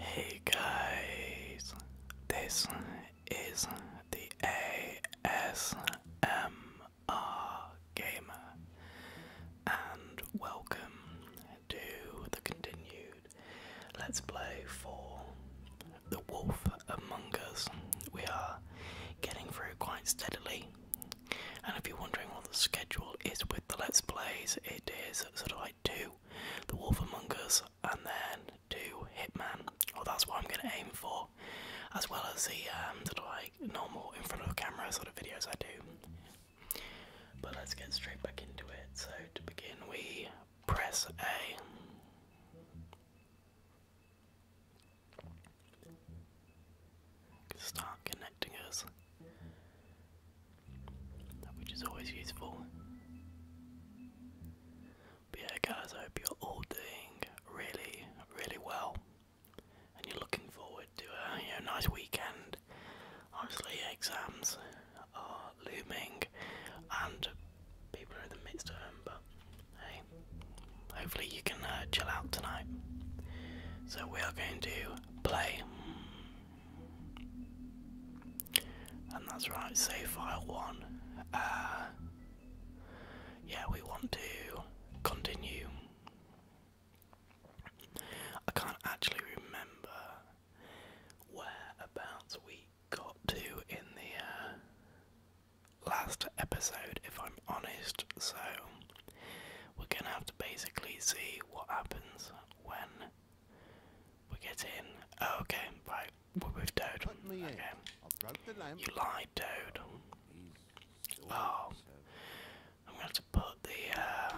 Hey guys, this is the ASMR Gamer, and welcome to the continued Let's Play Four. The Wolf Among Us. We are getting through quite steadily. And if you're wondering what the schedule is with the Let's Plays, it is sort of like two The Wolf Among Us and then two Hitman. Or oh, that's what I'm going to aim for, as well as the um, sort of like normal in front of camera sort of videos I do. But let's get straight back into it. So to begin, we press A. Start connecting us, which is always useful. But yeah, guys, I hope you're all doing really, really well, and you're looking forward to uh, a nice weekend. Obviously, exams are looming, and people are in the midst of them, but Hey, hopefully you can uh, chill out tonight. So we are going to play, and that's right. Save file one. Uh, yeah, we want to continue. I can't actually remember whereabouts we got to in the uh, last episode, if I'm honest, so we're gonna have to basically see what happens when we get in. Oh, okay, right, we're with Okay. You lied, Toad. Oh, I'm gonna have to put the uh,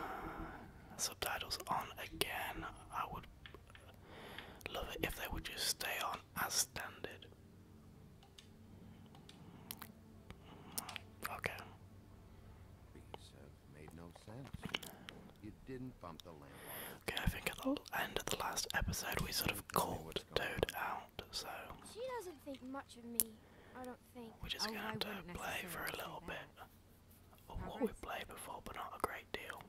subtitles on again. I would love it if they would just stay on as standard. Okay. Okay, I think at the end of the last episode we sort of called Toad out, so. She doesn't think much of me. I don't think. We're just gonna oh, play for a little bit. of what we played before, but not a great deal.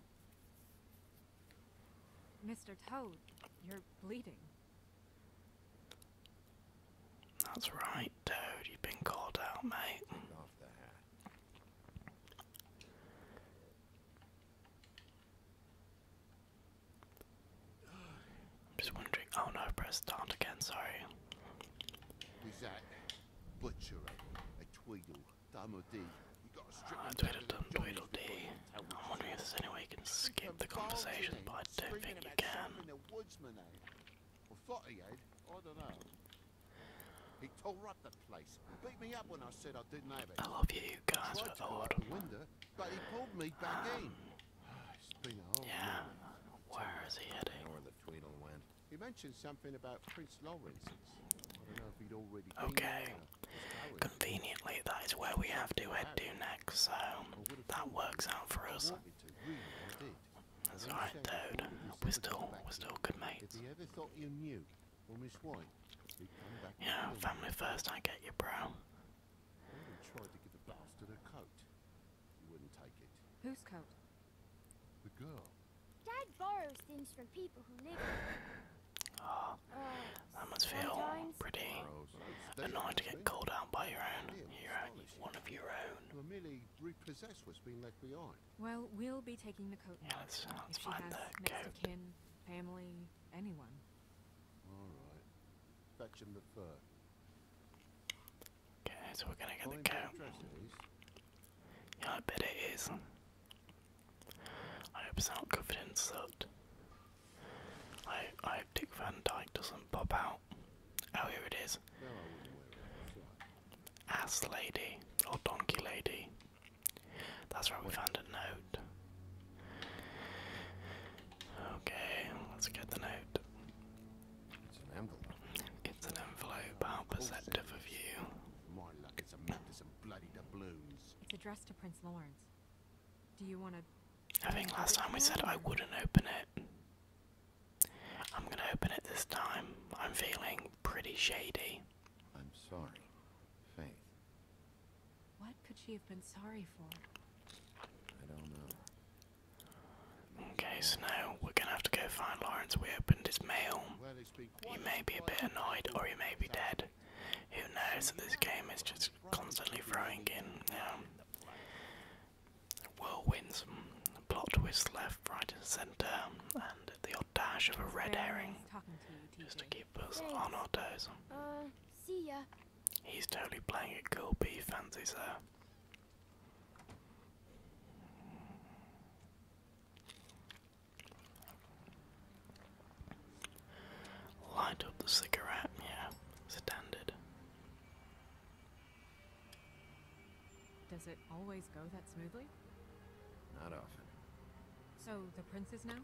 Mr. Toad, you're bleeding. That's right, Toad. You've been called out, mate. I'm just wondering. Oh no, press start again. Sorry. Uh, Tweedledum, Tweedledee. I'm wondering if there's any way you can skip the conversation, but I don't think you can. He tore up the place, beat me up when I said I didn't have it. I love you, you guys were old. Window, but he pulled me back in. Yeah, where is he heading? He mentioned something about Prince Lawrence. I don't know if he'd already. Okay, Conveniently, that is where we have to head to next, so that works out for us. That's alright, dude. We're still, we're still good mates. Yeah, family first, I get you, bro. Who's coat? The girl. Dad borrows things from people who live. oh, I must feel pretty annoying to get called out by your own hero, one of your own. Well, we'll be taking the coat. Yeah, let's, let's if find the Kin, family, anyone. Fetch him the fur. Okay, so we're gonna get Yeah, I bet it is. I hope it's not covered in soot. I, I hope Dick Van Dyke doesn't pop out. Oh, here it is. Ass Lady, or Donkey Lady. That's right, we found a note. Okay, let's get the note. It's an envelope. It's an envelope. How perceptive of you. My luck is a mess of bloody doubloons. It's addressed to Prince Lawrence. I think last time we said I wouldn't open it. I'm gonna open it this time. I'm feeling pretty shady. I'm sorry, Faith. What could she have been sorry for? I don't know. Okay, so now we're gonna have to go find Lawrence. We opened his mail. He may be a bit annoyed, or he may be dead. Who knows? This game is just constantly throwing in um, whirlwinds, plot twists left, right, and centre, and the odd dash of a red herring just to keep us on our toes. Uh, he's totally playing it cool, but he sir. Light up the cigarette, yeah, standard. Does it always go that smoothly? Not often. So the prince now?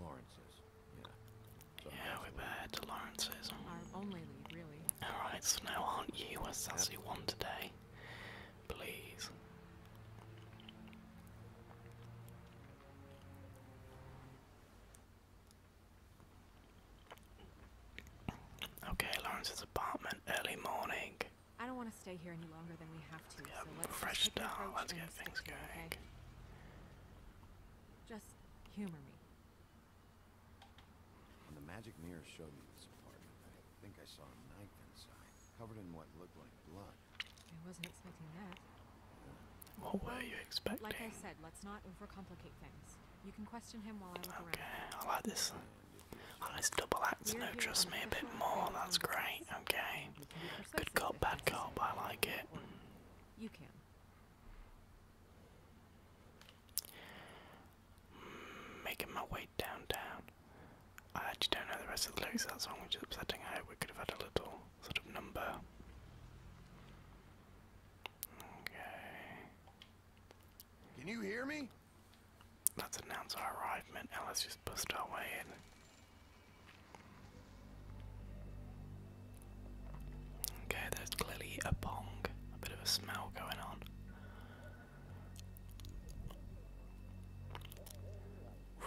Lawrence's, yeah. we're bad to Lawrence's. Our only really. Alright, so now aren't you a sassy one today? Please. Okay, Lawrence's apartment, early morning. I don't want to stay here any longer than we have to. Yep, so let's fresh start. Let's get things going. Okay? Just humor me. When the magic mirror showed me this apartment, I think I saw a knife inside, covered in what looked like blood. I wasn't expecting that. What were you expecting? Like I said, let's not overcomplicate things. You can question him while I look around. I like this. I like this double act no trust me a bit more, that's great, okay. Good cop, bad cop, I like it. You can. Making my way downtown. I actually don't know the rest of the lyrics of that song, which is upsetting. I hope we could have had a little sort of number. Okay. Can you hear me? Let's announce our arrival. Now let's just bust our way in. Okay, there's clearly a pong, a bit of a smell going on.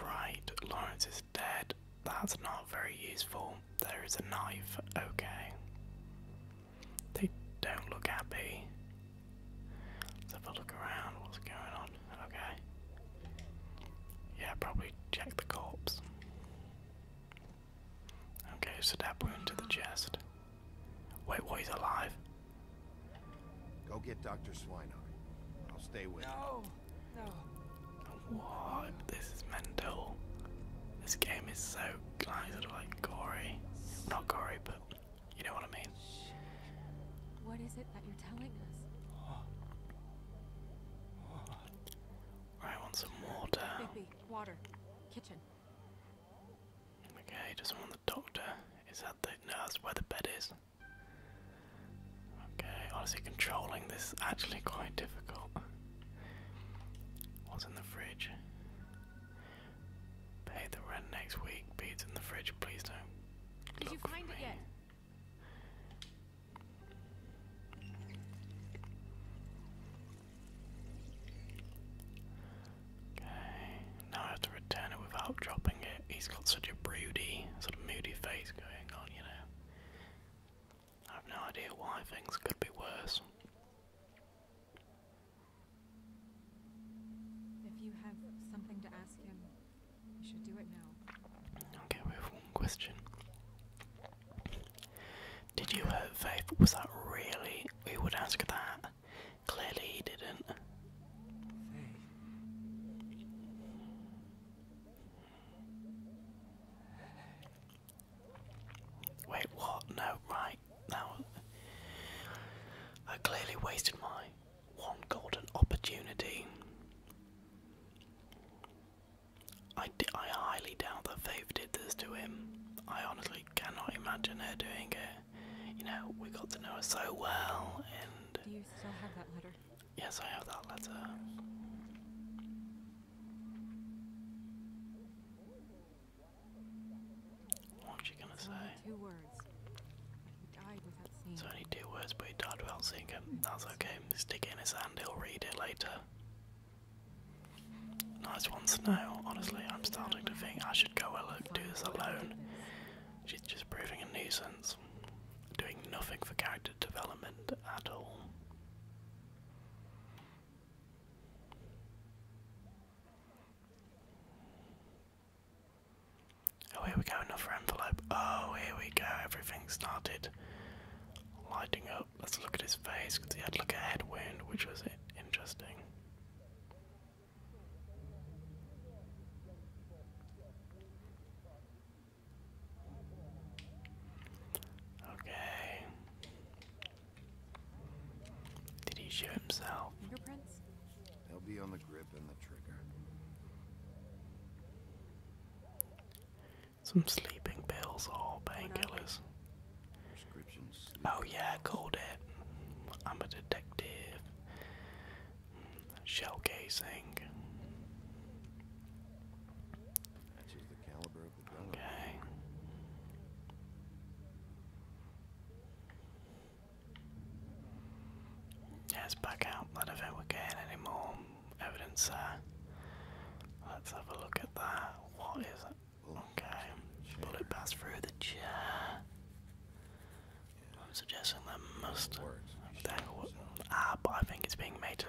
Right, Lawrence is dead. That's not very useful. There is a knife. Okay. They don't look happy. Let's have a look around. What's going on? Okay. Yeah, probably check the corpse. Okay, stab wound to the chest. Wait, what? He's alive? Go get Dr. Swinehart. I'll stay with him. No. What? This is mental. This game is so like, of like gory. Not gory, but you know what I mean. What is it that you're telling us? I want some water. water. Kitchen. Okay, he doesn't want the doctor. Is that the nurse? where the bed is. Okay, honestly, controlling this is actually quite difficult. What's in the fridge? Pay the rent next week. Beads in the fridge, please don't. Did you find it yet? Okay, now I have to return it without dropping it. He's got such a broody, sort of moody face going on you know. I have no idea why things could be worse. Okay, we have one question. Did you hurt Faith? Was that really? We would ask that. Clearly, he didn't. Wait, what? No, right. No, I clearly wasted my one golden opportunity. I, I highly doubt that Faith did this to him. I honestly cannot imagine her doing it. You know, we got to know her so well, and Do you still have that letter? Yes, I have that letter. What she gonna say? Two words. He died without It's only two words, but he died without seeing it. That's okay. Stick it in his hand, he'll read it later. Nice one, Snow. Honestly, I'm starting to think I should go and do this alone. She's just proving a nuisance. Doing nothing for character development at all. Oh, here we go, another envelope. Oh, here we go, everything started lighting up. Let's look at his face because he had like a head wound, which was interesting. Okay. Did he shoot himself? Fingerprints? They'll be on the grip and the trigger. Some sleeping pills or painkillers. Oh yeah, I called it. I'm a detective shell casing. Okay. Yes, back out. Not if ever gain any evidence there. Let's have a look at that. What is it? Okay. Bullet pass through the chair. I'm suggesting that must ah, but I think it's being made to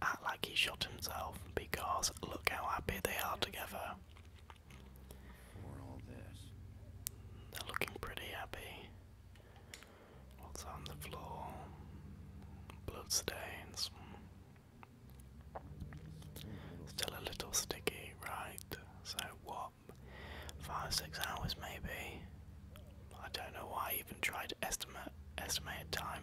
act like he shot himself because look how happy they are together. They're looking pretty happy. What's on the floor? Bloodstains. Still a little sticky, right? So what? Five, six hours maybe. I don't know why I even tried to estimate estimate time.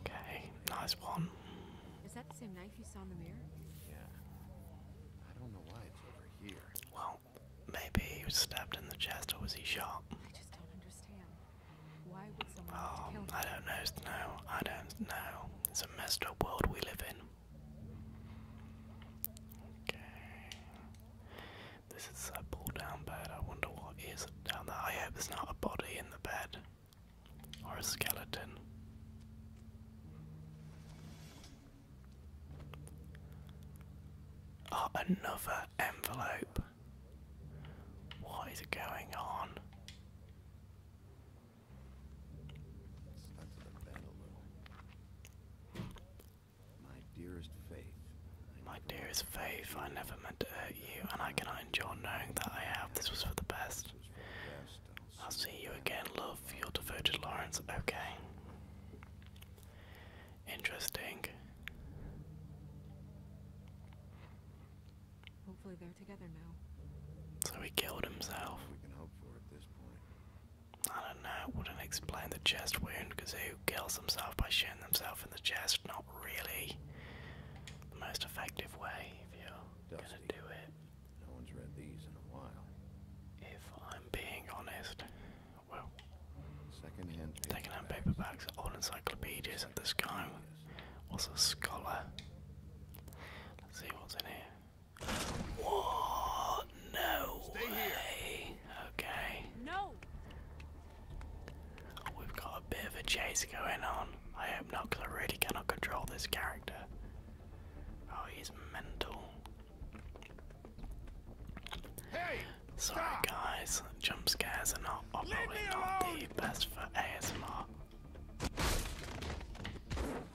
Okay, nice one. Is that the same knife you saw in the mirror? Yeah. I don't know why it's over here. Well, maybe he was stabbed in the chest or was he shot? I just don't understand. Why would someone oh, I don't know, Snow. I don't know. It's a messed up world we live in. Okay. This is a pull down bed. I wonder what is down there. I hope there's not a body in the bed or a skeleton. Oh, another envelope. What is going on? My dearest faith. My dearest faith, I never meant to hurt you, and I cannot endure knowing that I have. This was for the best. I'll see you again, love. Your devoted Lawrence. Okay. Interesting they're together now. So he killed himself. We can hope for at this point. I don't know. It wouldn't explain the chest wound because who kills himself by shooting themselves in the chest? Not really. The most effective way if you're gonna do it. No one's read these in a while. If I'm being honest, well, second-hand second-hand paperbacks, all encyclopedias at this guy was a scholar? Let's see what's in here. What? No Stay way. Here. Okay. No. We've got a bit of a chase going on. I hope not, really cannot control this character. Oh, he's mental. Sorry, guys. Jump scares are not, probably not the best for ASMR.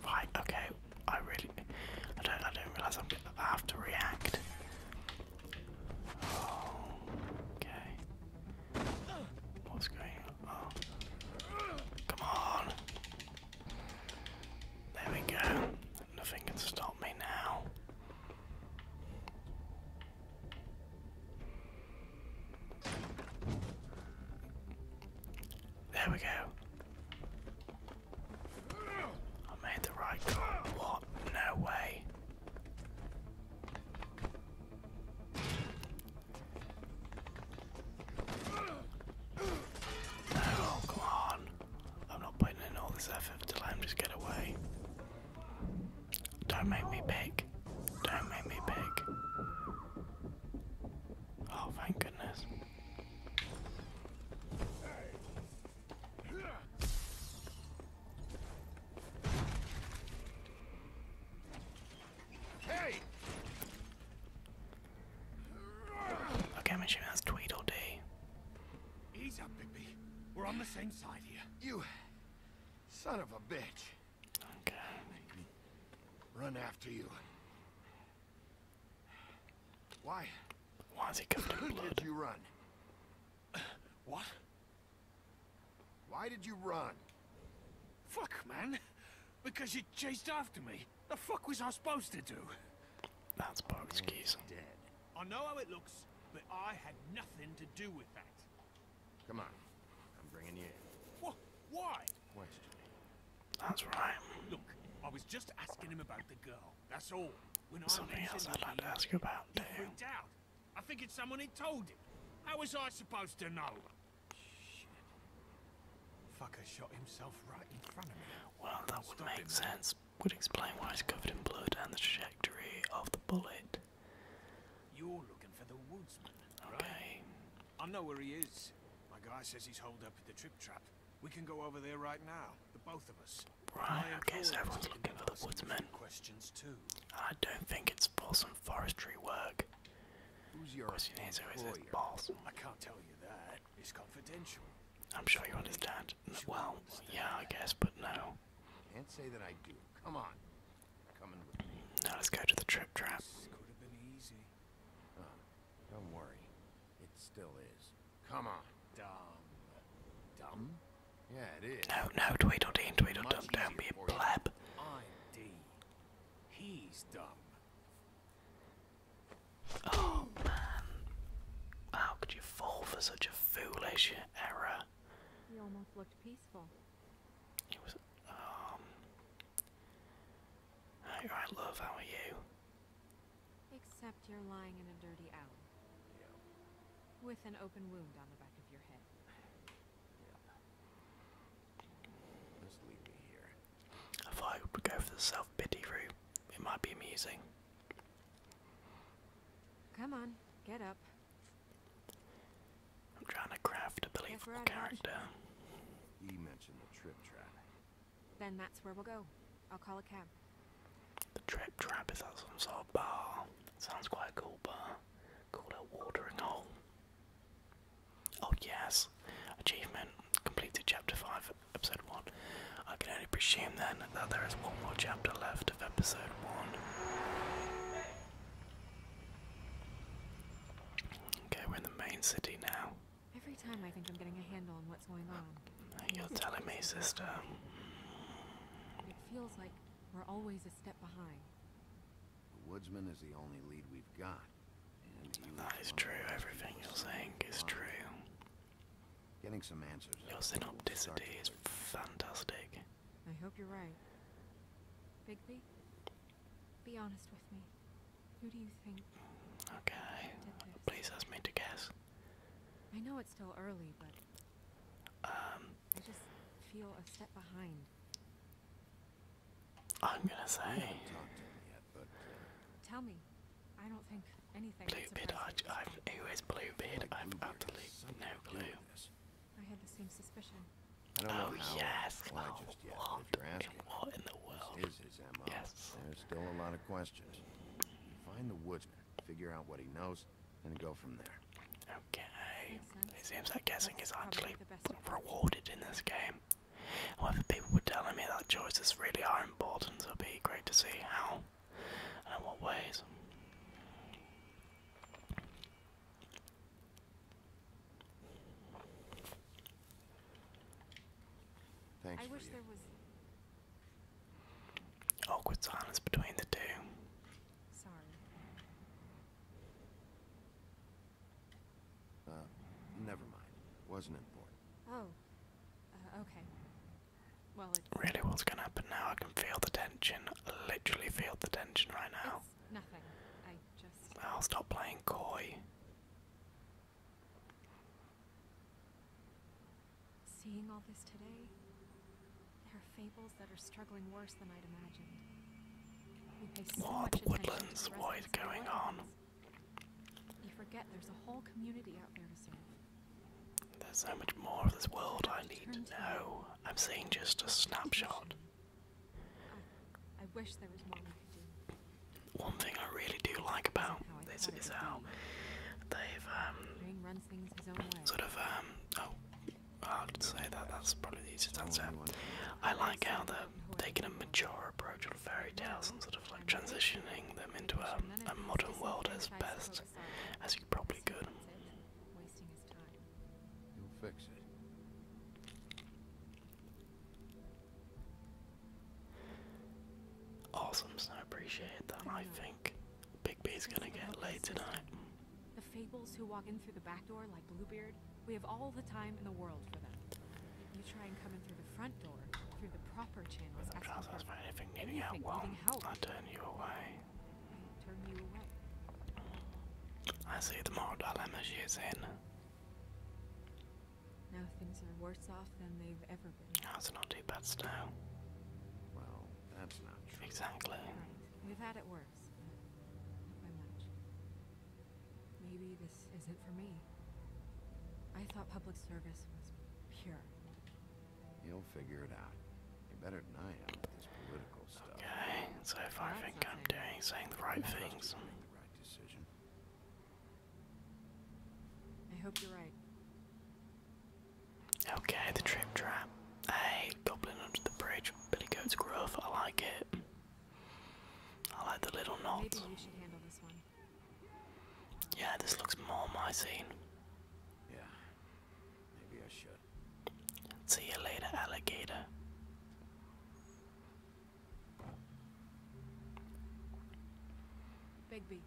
Right, okay. I really I don't I don't realise I'm going gonna have to react. Oh, okay. What's going on? Oh, come on. There we go. Nothing can stop me now. There we go. I made the right call. What? No way. No, come on. I'm not putting in all this effort to let him just get away. Don't make me big. Don't make me big. Oh, thank goodness. Hey. Okay, I'm assuming that's Tweedledee. Ease up, Bigby. We're on the same side here. You son of a bitch run after you. Why? Why is he covered in Did you run? What? Why did you run? Fuck, man. Because you chased after me. The fuck was I supposed to do? That's Bog's keys. Dead. I know how it looks, but I had nothing to do with that. Come on. I'm bringing you in. What? Why? That's right. Look, I was just asking him about the girl. That's all. When Something I else I'd like to ask you about, too. Out. I think it's someone he told him. How was I supposed to know? Shit. Fucker shot himself right in front of me. Well, that would make sense. Would explain why he's covered in blood and the trajectory of the bullet. You're looking for the woodsman, okay. I know where he is. My guy says he's holed up at the trip trap. We can go over there right now, the both of us. Right, okay, so everyone's looking for the woodsman. Questions too. I don't think it's for some forestry work. Who's your Question is, who is his boss? I can't tell you that. It's confidential. I'm sure you understand. Well, yeah, I guess, but no. Can't say that I do. Come on. Coming with Now let's go to the trip trap don't worry. It still is. Come on. Dumb. Dumb? Yeah, it is. No, no, Tweedledee and Tweedledum, don't be a pleb. He's dumb. Oh, man. How could you fall for such a foolish error? He almost looked peaceful. It was, um, Hi, love, how are you? Except you're lying in a dirty alley. With an open wound on the back of your head. I thought I would go for the self-pity route. It might be amusing. Come on, get up. I'm trying to craft a believable character. Then that's where we'll go. I'll call a cab. The trip trap is that some sort of bar. Sounds quite a cool bar. Called a watering hole. Oh yes. Achievement. Completed chapter five, episode one. I can only presume then that there is one more chapter left of episode one. Okay, we're in the main city now. Every time I think I'm getting a handle on what's going on. You're telling me, sister. It feels like we're always a step behind. The woodsman is the only lead we've got. And that is true. Everything you're saying is true. Getting some answers. Your synopticity is fantastic. I hope you're right. Bigby? Be honest with me. Who do you think? Okay. Please ask me to guess. I know it's still early, but um I just feel a step behind. I'm gonna say. Yet, but, uh, Tell me. I don't think anything. Bluebeard, I, Who who is Bluebeard? I've absolutely no clue. I had the same suspicion oh yes. oh, just What in the world? is his MO. There's still a lot of questions. Find the woodsman, figure out what he knows, and go from there. Okay. It seems that guessing is actually rewarded in this game. However, people were telling me that choices really are important, so it would be great to see how and what ways. Thanks I wish there was awkward silence between the two. Sorry. Uh, never mind. Wasn't important. Oh. Uh, okay. Well, really, what's gonna happen now? I can feel the tension. literally feel the tension right now. Nothing. I just. I'll stop playing coy. Seeing all this today, there are fables that are struggling worse than I'd imagined. We what much the woodlands? what is going on? You forget there's a whole community out there to serve. There's so much more of this world I need to know. I'm seeing just a snapshot. I, wish there was more we could do. One thing I really do like about this is how they've um sort of um oh I'd say that that's probably the easiest answer. I like how they're taking a mature approach on fairy tales and sort of like transitioning them into um, a, modern world as best as you probably could. Awesome, so I appreciate that. I think Big B is gonna get late tonight. The fables who walk in through the back door like Bluebeard, we have all the time in the world for them. You try and come in through the front door, through the proper channels. As trousers for anything needing help, well, I turn you away. I you away. I see the more dilemma she's in. Now things are worse off than they've ever been. Oh, it's not too bad still. Well, that's not Exactly. Right. We've had it worse, Maybe this isn't for me. I thought public service was pure. You'll figure it out. You better than I am with this political stuff. Okay, so if I think I'm doing saying the right things. I hope you're right. Okay, the trip trap. Hey, goblin under the bridge. Billy goat's gruff. I like it. I like the little knots. Yeah, this looks more my scene. Yeah, maybe I should. See you later, alligator. Bigby.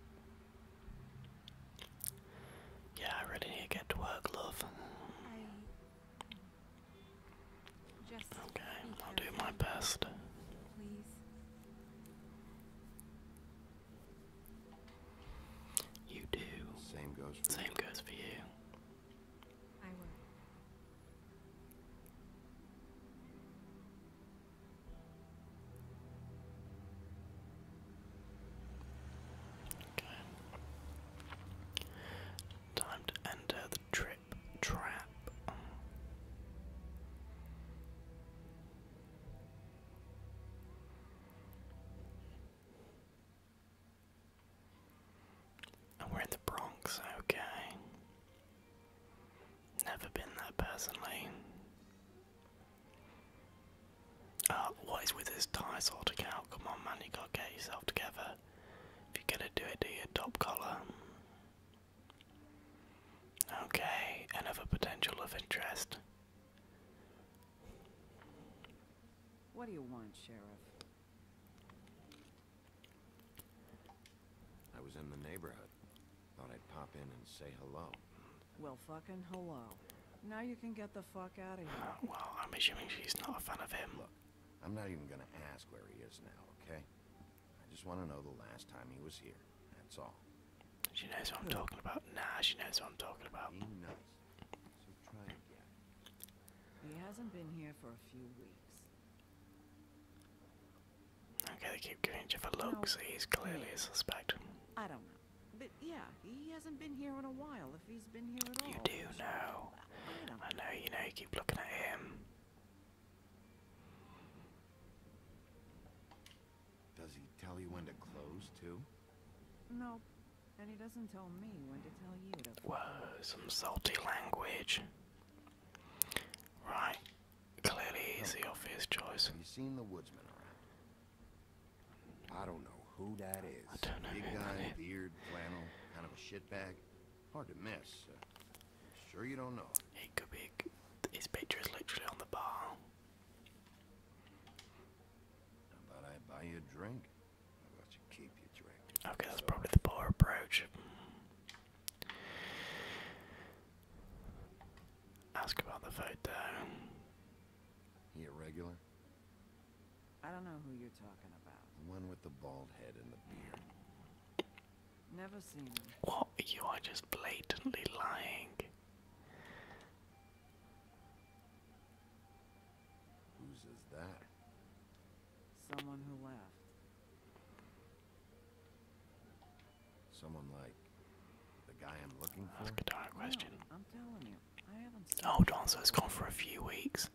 Yeah, I really need to get to work, love. okay, I'll do my best. You do. Same goes Same goes for you. I will. Time to enter the trip trap we're in the Bronx, okay. Never been there personally. Uh, what is with this tie sorting out? Come on, man, you gotta get yourself together. If you're gonna do it, do your top collar. Okay, another potential of interest. What do you want, Sheriff? I was in the neighborhood. Thought I'd pop in and say hello. Well, fucking hello. Now you can get the fuck out of here. Ah, well, I'm assuming she's not a fan of him. Look, I'm not even gonna ask where he is now, okay? I just want to know the last time he was here. That's all. She knows what I'm talking about. Nah, she knows what I'm talking about. He knows. So try again. He hasn't been here for a few weeks. Okay, they keep giving each a look, so He's clearly a suspect. I don't know. But yeah, he hasn't been here in a while if he's been here at all. You do know. I know, you know, you keep looking at him. Does he tell you when to close, too? No, and he doesn't tell me when to tell you to. Whoa, some salty language. Right. Clearly he's the obvious choice. Have you seen the woodsman around? I don't know who that is. I don't know. Big guy, beard, flannel, kind of a shitbag. Hard to miss. sure you don't know. Hey, could be his picture is literally on the bar. How about I buy you a drink? Okay, that's probably the poor approach. Ask about the photo. He a regular? I don't know who you're talking about. The one with the bald head and the beard. Never seen him. What? You are just blatantly lying. Whose is that? Someone who left. Someone like the guy I'm looking for? That's a guitar question. No, i so oh, it's gone for a few weeks.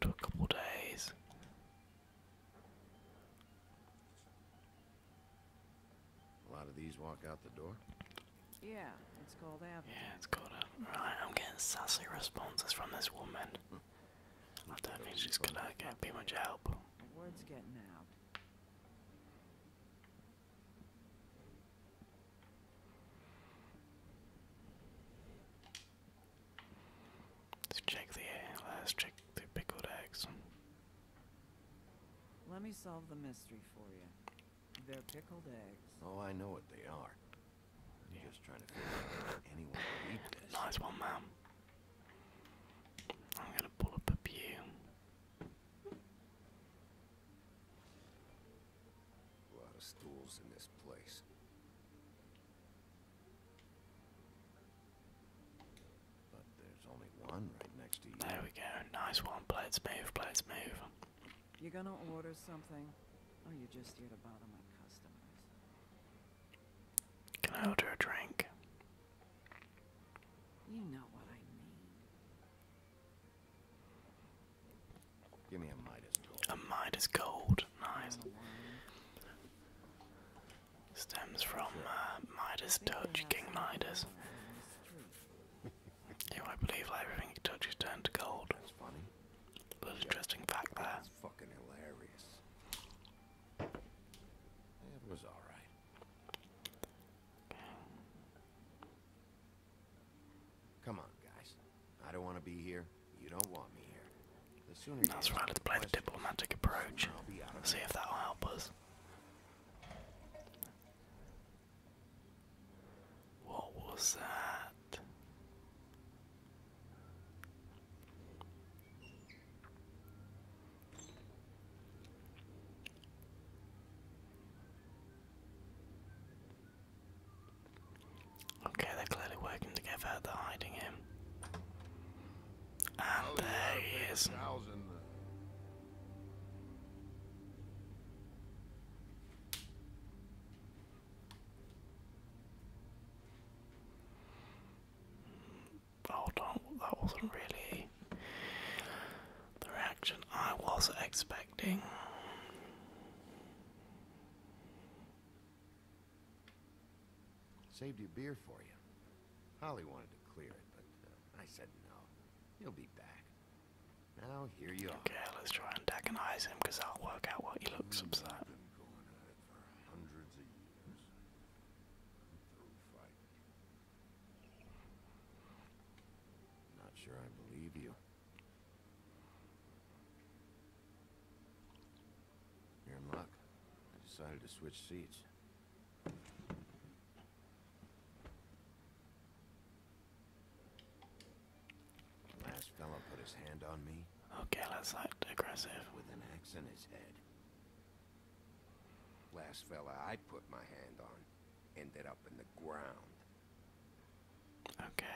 To a couple days. A lot of these walk out the door? Yeah, it's called out. Yeah, it's called out. I'm getting sassy responses from this woman. Hmm. Not that she's gonna get be much help. Let's check the let check the pickled eggs. Let me solve the mystery for you. They're pickled eggs. Oh, I know what they are. Nice one, man. I'm gonna pull up a pew. A lot of stools in this place. But there's only one right next to you. There we go. Nice one. Blades move, blades move. You are gonna order something? Or are you just here to bother my customers? Can I order a drink? You know what I mean. Give me a Midas gold. A Midas gold, nice. Stems from uh, Midas touch, King Midas. Who I believe that everything he touches turned to gold. Little interesting fact there fucking hilarious. It was all right. Come on, guys. I don't want to be here. You don't want me here. The sooner That's right. Let's play the diplomatic approach. See if that'll help us. What was that? Okay, they're clearly working together, they're hiding him. there he is. Hold on, that wasn't really the reaction I was expecting. Saved your beer for you. Holly wanted to clear it, but uh, I said no. He'll be back. Now here you okay, are. Okay, let's try and antagonize him because i will work out what he looks upset hundreds of years. I'm Not sure I believe you. You're in luck. I decided to switch seats. Last fella put his hand on me. Okay, that's us not aggressive. With an axe in his head. Last fella I put my hand on ended up in the ground. Okay.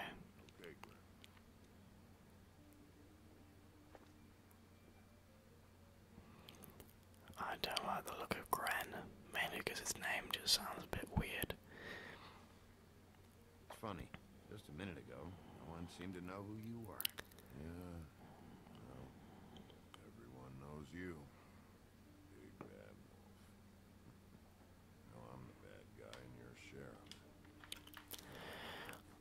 I don't like the look of Gran, mainly because its name just sounds a bit weird. It's funny. Just a minute ago, no one seemed to know who you were. Yeah. Well, everyone knows you. Big bad wolf. I'm the bad guy and you're sheriff.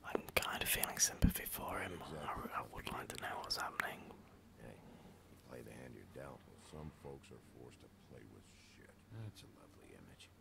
I'm kind of feeling sympathy for him. I, would like to know what's happening. That's a lovely image.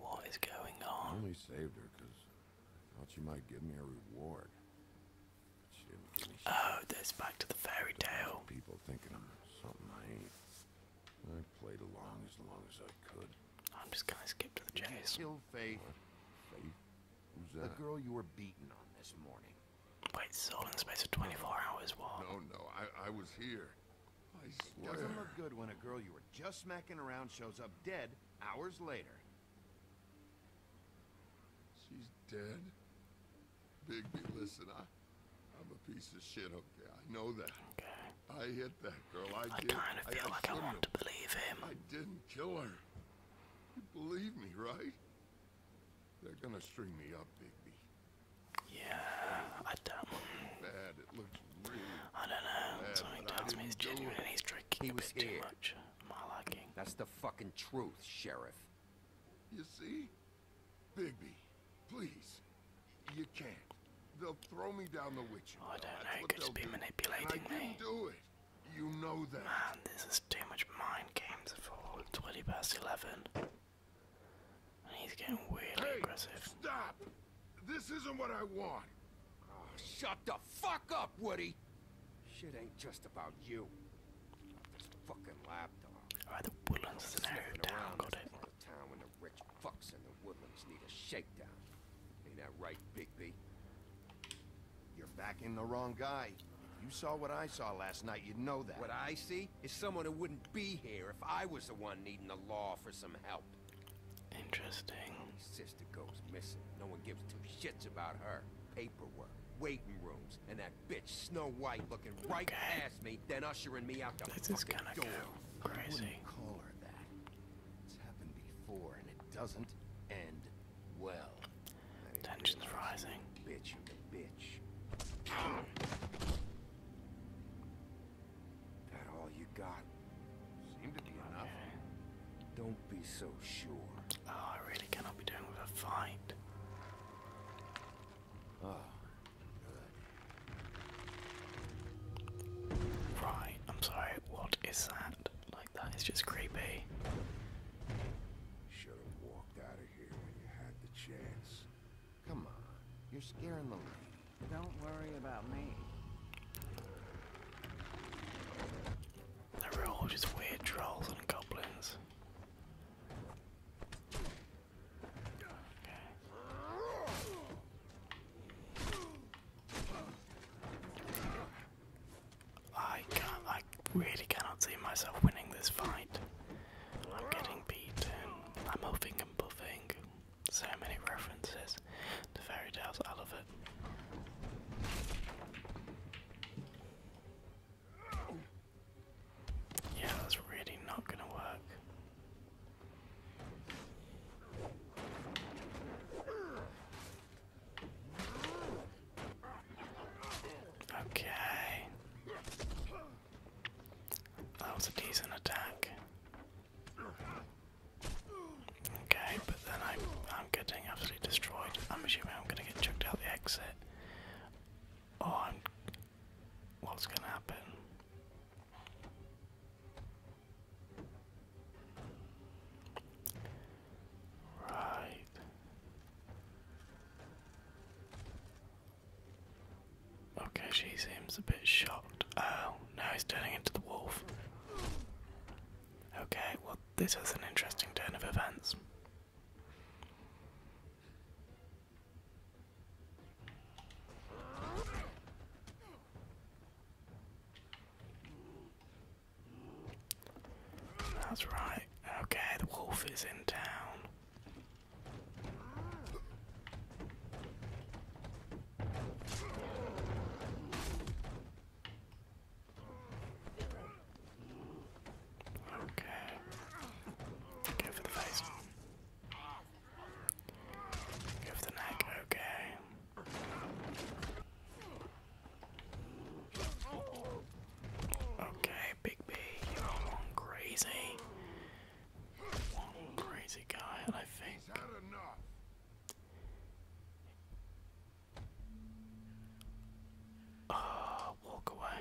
What is going on? I only saved her because I thought she might give me a reward. But she didn't give me shit. Oh, this back to the fairy tale. People thinking I'm something I ain't. I played along as long as I could. I'm just gonna skip to the chase. Kill Faith. The girl you were beaten on this morning. Wait, so in the space of 24 hours, what? No, no, I, I was here. I swear. Doesn't look good when a girl you were just smacking around shows up dead hours later. She's dead? Bigby, listen, I, I'm a piece of shit, okay? I know that. Okay. I hit that girl. I, did. I, I like I didn't kill her. You believe me, right? They're gonna string me up, Bigby. Yeah, I don't. Bad. It looks I don't know. Something tells me it's genuine he's drinking he was too much. My liking. That's the fucking truth, Sheriff. You see? Bigby, please. You can't. They'll throw me down the witch. I don't know. He could just be manipulating I me. do it. You know that. Man, this is too much mind games for 20 past 11. And he's getting weirdly hey, aggressive. Stop! This isn't what I want. Oh, shut the fuck up, Woody! Shit ain't just about you. Not this fucking lapdog. the woodlands is an area down, got it. town when the rich fucks in the woodlands need a shakedown. Ain't that right, Big B? You're backing the wrong guy. you saw what I saw last night, you'd know that. What I see is someone who wouldn't be here if I was the one needing the law for some help. Interesting. sister goes missing. No one gives two shits about her. Paperwork, waiting rooms, and that bitch Snow White looking right past me, then ushering me out the this is gonna door. Go crazy. I call her that. It's happened before, and it doesn't end well. Tensions rising. Bitch, bitch. That all you got? Seem to be enough. Don't be so sure. Oh, I really cannot be doing with a fight. Ah, right, I'm sorry, what is that? Like, that is just creepy. Should have walked out of here when you had the chance. Come on, you're scaring the lady. Don't worry about me. They're all just weird trolls and goblins. I can't. I really cannot see myself winning this fight. I'm getting beaten. I'm huffing and puffing. So many references to fairy tales, I love it. Yeah, that's really not gonna work. Okay. That was a decent attack. Okay, but then I, I'm getting absolutely destroyed. I'm assuming I'm going to get chucked out the exit. Oh, I'm, what's going to happen? Right. Okay, she seems a bit shocked. Uh, no, he's turning into the wolf. Okay, well, this is an interesting turn of events. That's right. Okay, the wolf is in town. Okay. Go for the face. Go the neck, okay. Okay, Big B, one crazy. One crazy guy, I think. Oh, walk away.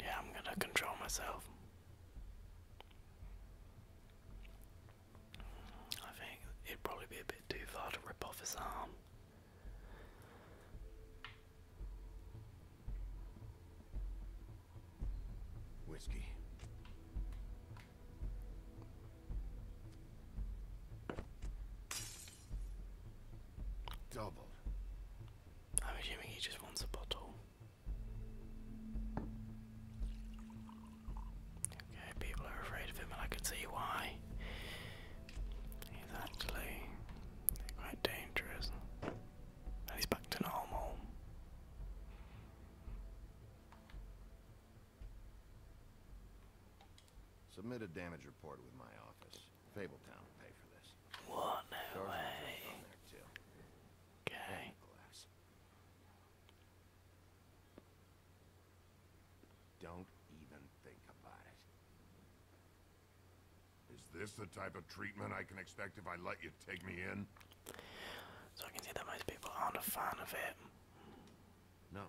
Yeah, I'm gonna control myself. I think it'd probably be a bit too far to rip off his arm. Whiskey. Double. I'm assuming he just wants a bottle. Okay, people are afraid of him, and I can see why. He's actually quite dangerous. And he's back to normal. Submit a damage report with my office. Fabletown will pay for this. What? way. Okay. Don't even think about it. Is this the type of treatment I can expect if I let you take me in? So I can see that most people aren't a fan of it. No.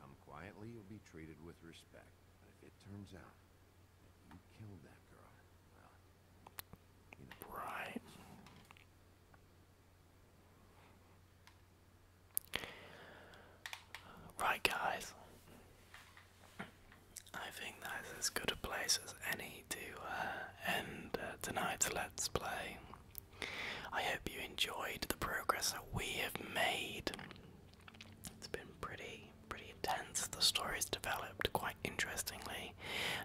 come quietly, you'll be treated with respect. if it turns out you killed that girl, well, you know. Right. Right, guys. I think that's as good a place as any to uh, end uh, tonight's Let's Play. I hope you enjoyed the progress that we have made. It's been pretty, pretty intense. The story's developed quite interestingly,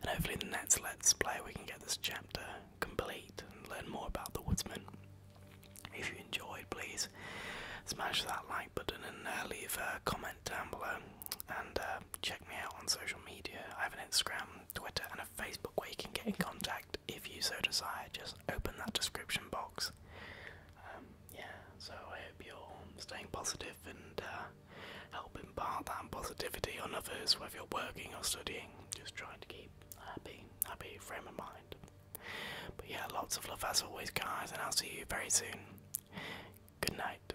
and hopefully, in the next Let's Play, we can get this chapter complete and learn more about the Woodsman. If you enjoyed, please smash that like button and uh, leave a comment down below and uh, check me out on social media. I have an Instagram, Twitter, and a Facebook where you can get in contact if you so desire. Just open that description box. Um, yeah, so I hope you're staying positive and uh, help impart that positivity on others, whether you're working or studying. Just trying to keep a happy, happy frame of mind. But yeah, lots of love as always, guys, and I'll see you very soon. Good night.